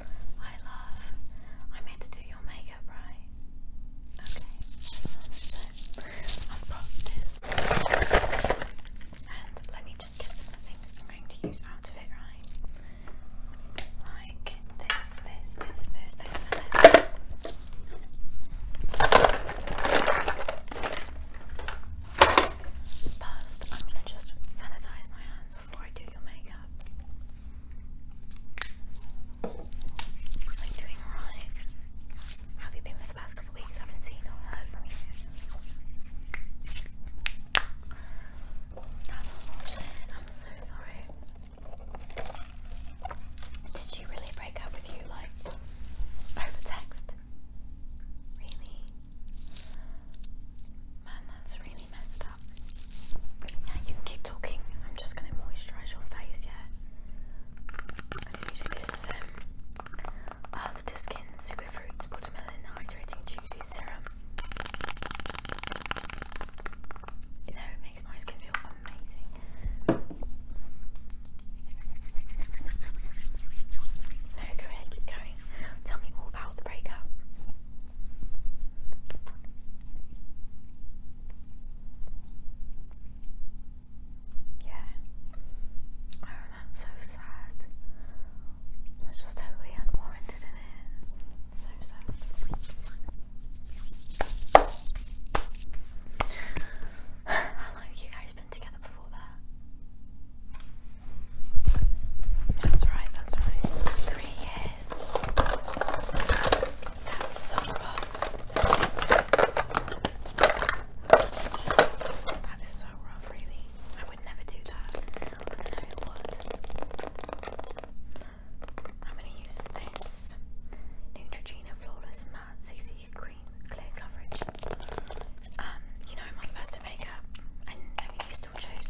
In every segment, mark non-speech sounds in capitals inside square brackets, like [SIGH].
I love, I meant to do your makeup, right? Okay, I've got this and let me just get the things I'm going to use out of it, right? Like this, this, this, this, this, this. First, I'm going to just sanitize my hands so why do you makeup? I'm doing alright. have you been for the past couple weeks? I haven't seen or heard from you. That's unfortunate. I'm so sorry. Did she really break up with you like over text? Really? Man, that's really really messed up. keep talking. I'm just gonna moisturise your face. Yeah. I'm gonna use this um, Skin Superfruits Watermelon Hydrating Juicy Serum. You know, makes my skin feel amazing. No, go ahead, keep going. Tell me all about the breakup. Yeah. Oh, that's so sad. That's just totally unwarranted, isn't it? So sad. [SIGHS] How long have you guys been together before that? That's right, that's right. Three years. That's so rough. That is so rough, really. I would never do that. I know who would. I'm going to use this Neutrogena Flawless Matte CC Cream Clear Coverage. Um, you know, I'm not makeup. I'm just going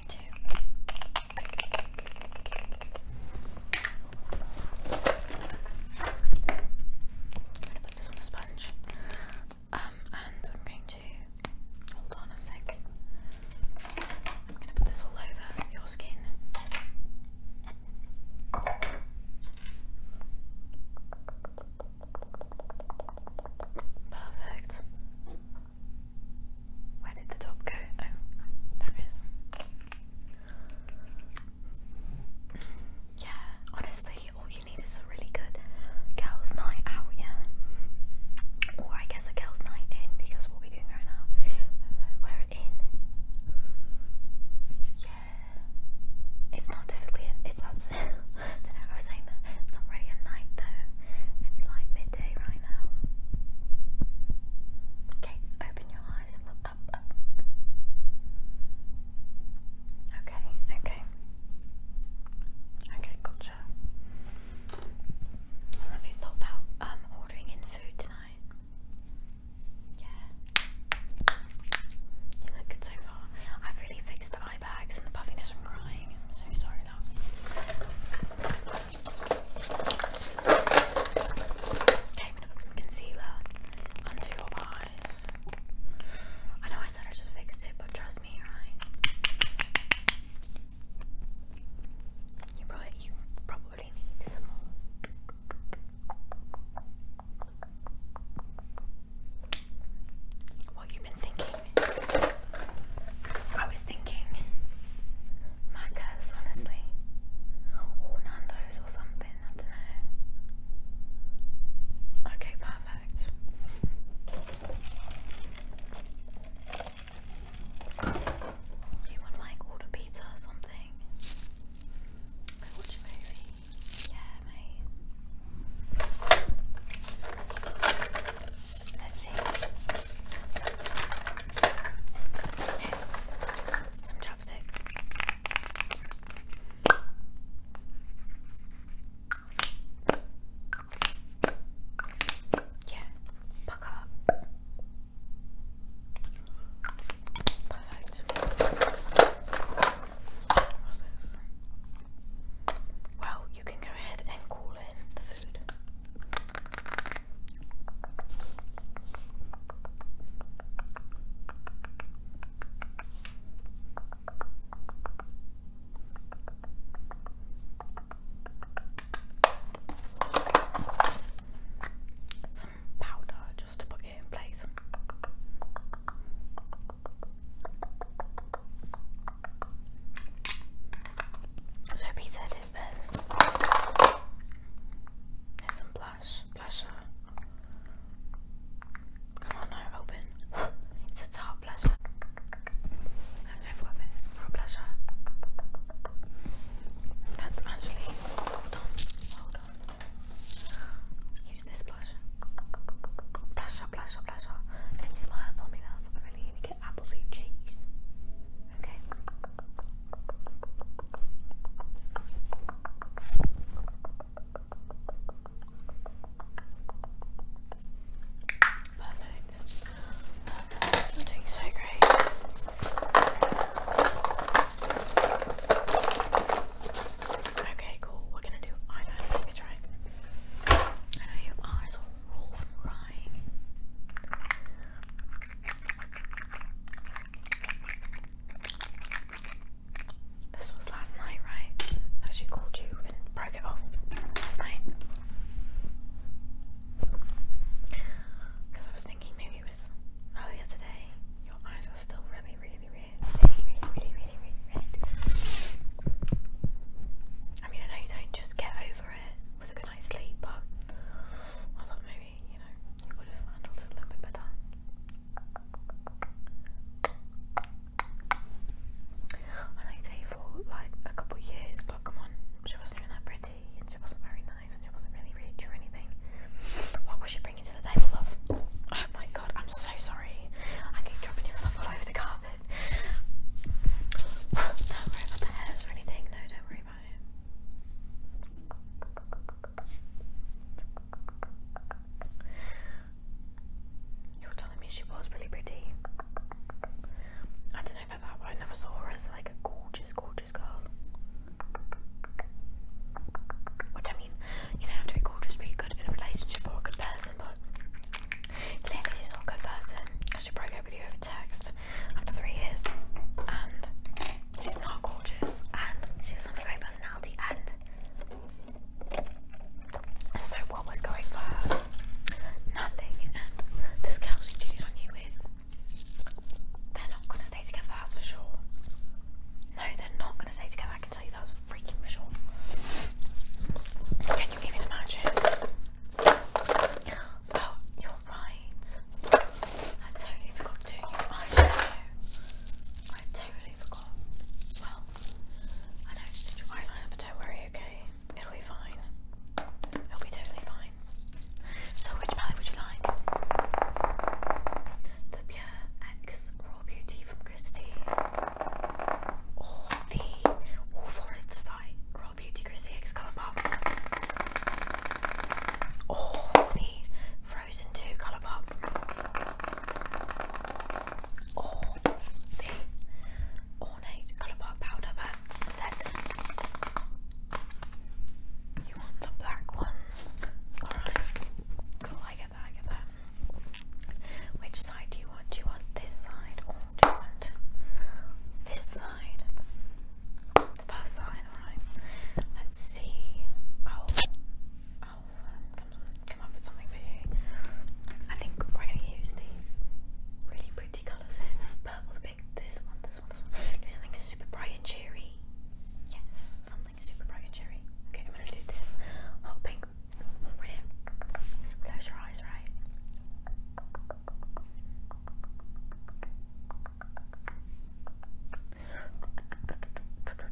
to. put this on the sponge. Um, and I'm going to hold on a sec. I'm going to put this all over your skin. Perfect. Where did the top go? Oh, it is. Yeah, honestly, all you need is a really good girls' night out, yeah. Or I guess a girls' night in because what we're doing right now, we're in. Yeah, it's not typically it's not. I was saying that. It's not really a night though. It's like midday right now. Okay, open your eyes look up, up. Okay, okay. Okay, gotcha. Have you thought about um ordering in food tonight? Yeah. You look good so far. I've really fixed it eye bags and the puffiness from crying. I'm so sorry, love. Okay, I'm gonna put some concealer under your eyes. I know I said I just fixed it, but trust me, right? you probably need some more. Well, you been thinking. I was thinking Macca's, honestly. Or Nando's or something, I don't know. Okay, perfect. You would like order pizza or something? Go watch a movie yeah, my. Let's see. Some chopsticks. Yeah, buck up. Perfect. What's Well, you can go ahead and call in the food. powder just to put it in place. So pizza is that. There's some blush, blusher. Come on now, open. [LAUGHS] It's a top blusher. I'm so for this for blusher. That's actually hold on, hold on. Use this blush. Blusher, blusher, blusher. Can you smile for me, love? I really need to get apple soup Okay. Perfect. Perfect. you doing so great. Okay, cool. We're gonna do eyeliner next, right? I know your eyes are raw from crying. This was last night, right? That she called you and broke it off last night. Because I was thinking maybe it was earlier today. Your eyes are still really, really, really, really, really, really, really, really red. I mean, I know you don't just get over it with a good night's sleep, but I thought maybe, you know, you would have handled it a little bit better. I know you dated for like a couple of years, but come on, she wasn't even that pretty and she wasn't very nice and she wasn't really rich or anything. What was she bringing? Oh my god, I'm so sorry. I keep dropping your stuff all over the carpet. don't worry about the or anything. No, don't worry about it. You're telling me she was really pretty. I don't know about that, but I never saw her as like a gorgeous, gorgeous girl. Which I mean, you don't have to be to be good in a relationship or a good person, but clearly she's not a good person because she broke up with you over text after three years, and she's not gorgeous, and she's not a great personality, and so what was going for her? Nothing, and this girl cheated on you with, they're not going to stay together, that's for sure. No, they're not going to stay together that was freaking for sure. Can you even imagine? Oh, you're right. I totally forgot to. I know. I totally forgot. Well, I know it's just your eyeliner, but don't worry, okay? It'll be fine. It'll be totally fine. So, which palette would you like? The Pure X Raw Beauty from Christie. Oh, the Forest-side Royal Beauty Chris CX colour pop, all the Frozen 2 colour pop, all the Ornate colour pop powder set. You want the black one? Alright, cool, I get that, I get that. Which side do you want? Do you want this side or do you want this side? first side, alright. Let's see. Oh, oh, come, up with something for you. I think we're going to use these really pretty colours here. Purple, pink, this this one, this one. something super bright and cheery. Yes, something super bright and cheery. Okay, I'm gonna do this hot pink Close your eyes, right? Okay.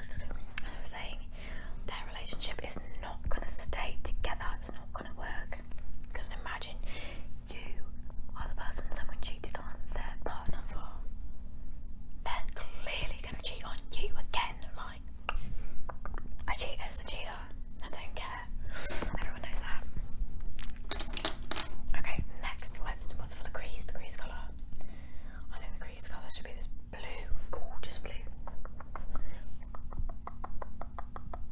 I was saying, their relationship is not going to stay together. It's not gonna work. Because imagine you are the person someone cheated on their partner for. They're clearly gonna cheat on you again. Like, a cheater is a I don't care. Everyone knows that. Okay, next, let's what's for the crease? The crease colour. I think the crease colour should be this blue, gorgeous blue.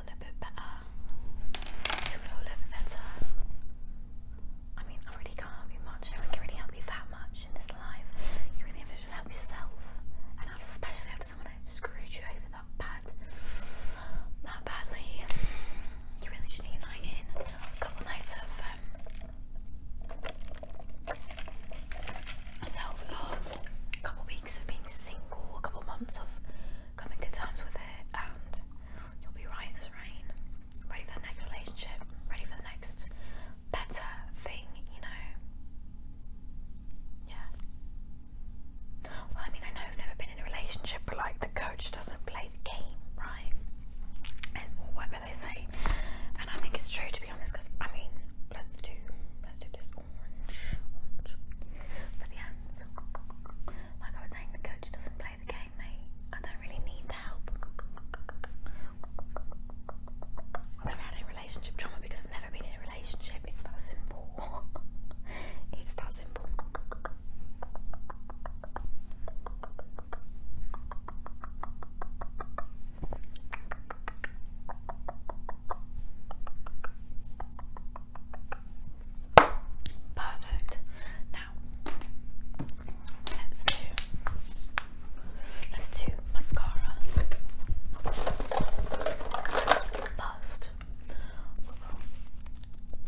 a little bit better? you feel a little better? I mean, I really can't help you much. No one can really help you that much in this life. You really have to just help yourself. especially after someone who screwed you over that bad, that badly. You really just need a night in. A couple nights of um, self-love. A couple weeks of being single. A couple months of Coming to terms with it, and you'll be right as rain, ready for the next relationship, ready for the next better thing, you know. Yeah. Well, I mean, I know I've never been in a relationship, but like the coach doesn't play the game, right? It's whatever they say, and I think it's true to be honest. Because I mean, let's do let's do this orange for the end. Like I was saying, the coach doesn't play the game, mate. I don't really need the help. I've never relationship trauma because I've never been in a relationship. It's that simple. [LAUGHS] it's that simple. Perfect. Now let's do let's do mascara. First we will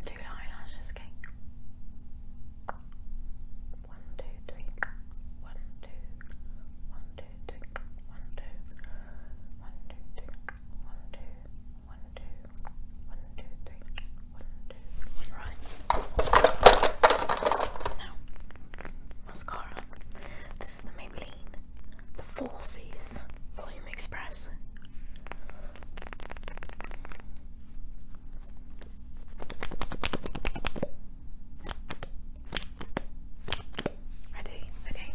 do the eyelashes, okay? One, two, three, one, two, one, two, three, one, two, one, two, three, one, two, one, two, one, two, three, one, two. Right. Now, mascara. This is the Maybelline, the Four C's Volume Express. Ready? Okay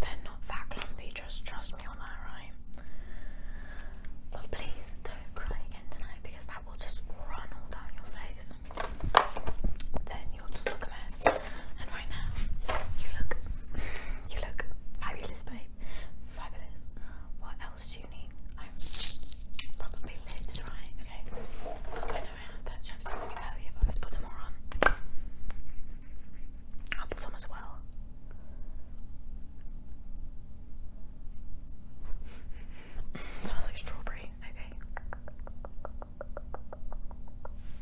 They're not that clumpy, just trust me on that, right? But please don't cry again tonight because that will just run all down your face. Then you'll look a mess. And right now, you look, you look fabulous, babe. Fabulous. What else do you need? I'm probably lips, right? Okay. I was put some more on. I'll put some as well. smells like strawberry, okay.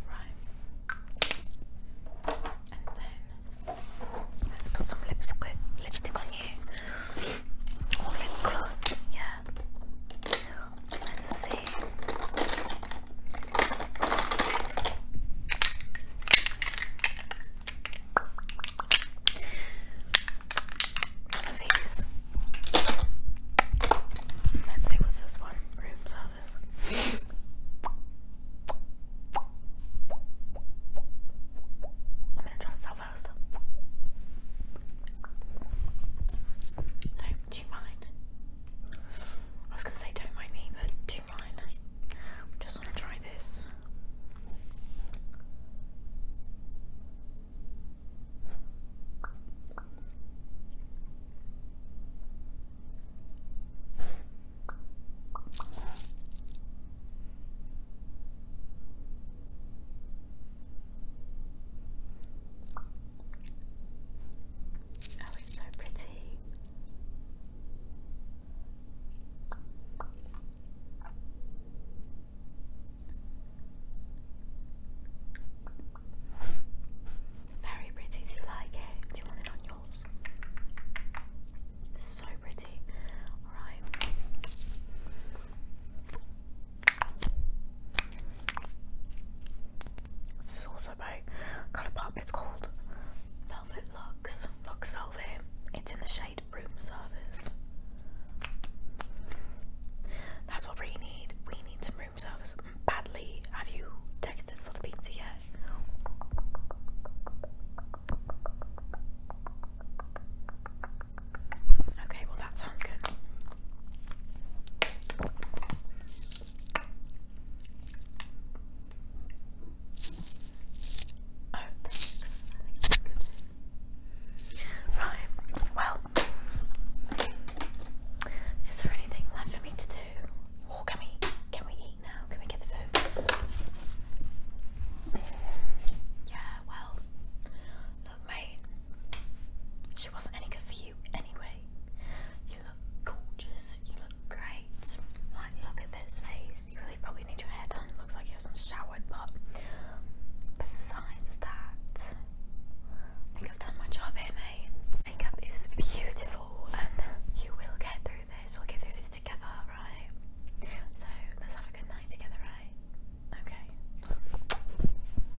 Right. And then let's put some lipstick lipstick on you. lip gloss, yeah. Let's see. these. Let's see what's this one. Room service. I'm gonna try this out No, do you mind? I was going to say don't mind me, but do mind. just want to try this. Oh, it's so pretty. Very pretty. Do you like it? Do you want it on yours? So pretty. Alright. This is also kind of pop. It's called Velvet Lux. Lux Velvet. It's in the shade Room Service. That's what we need. We need some room service badly. Have you texted for the pizza yet? Okay, well that sounds good. Oh, thanks. right, well, is there anything left for me to do? can we, can we eat now? Can we get the food? Yeah, well, look mate, she wasn't any good for you anyway. You look gorgeous. You look great. Like, look at this face. You really probably need your hair done. looks like you haven't showered, but besides that, I think I've done my job here, mate. Makeup is beautiful, and you will get through this. We'll get through this together, right? So let's have a good night together, right? Okay.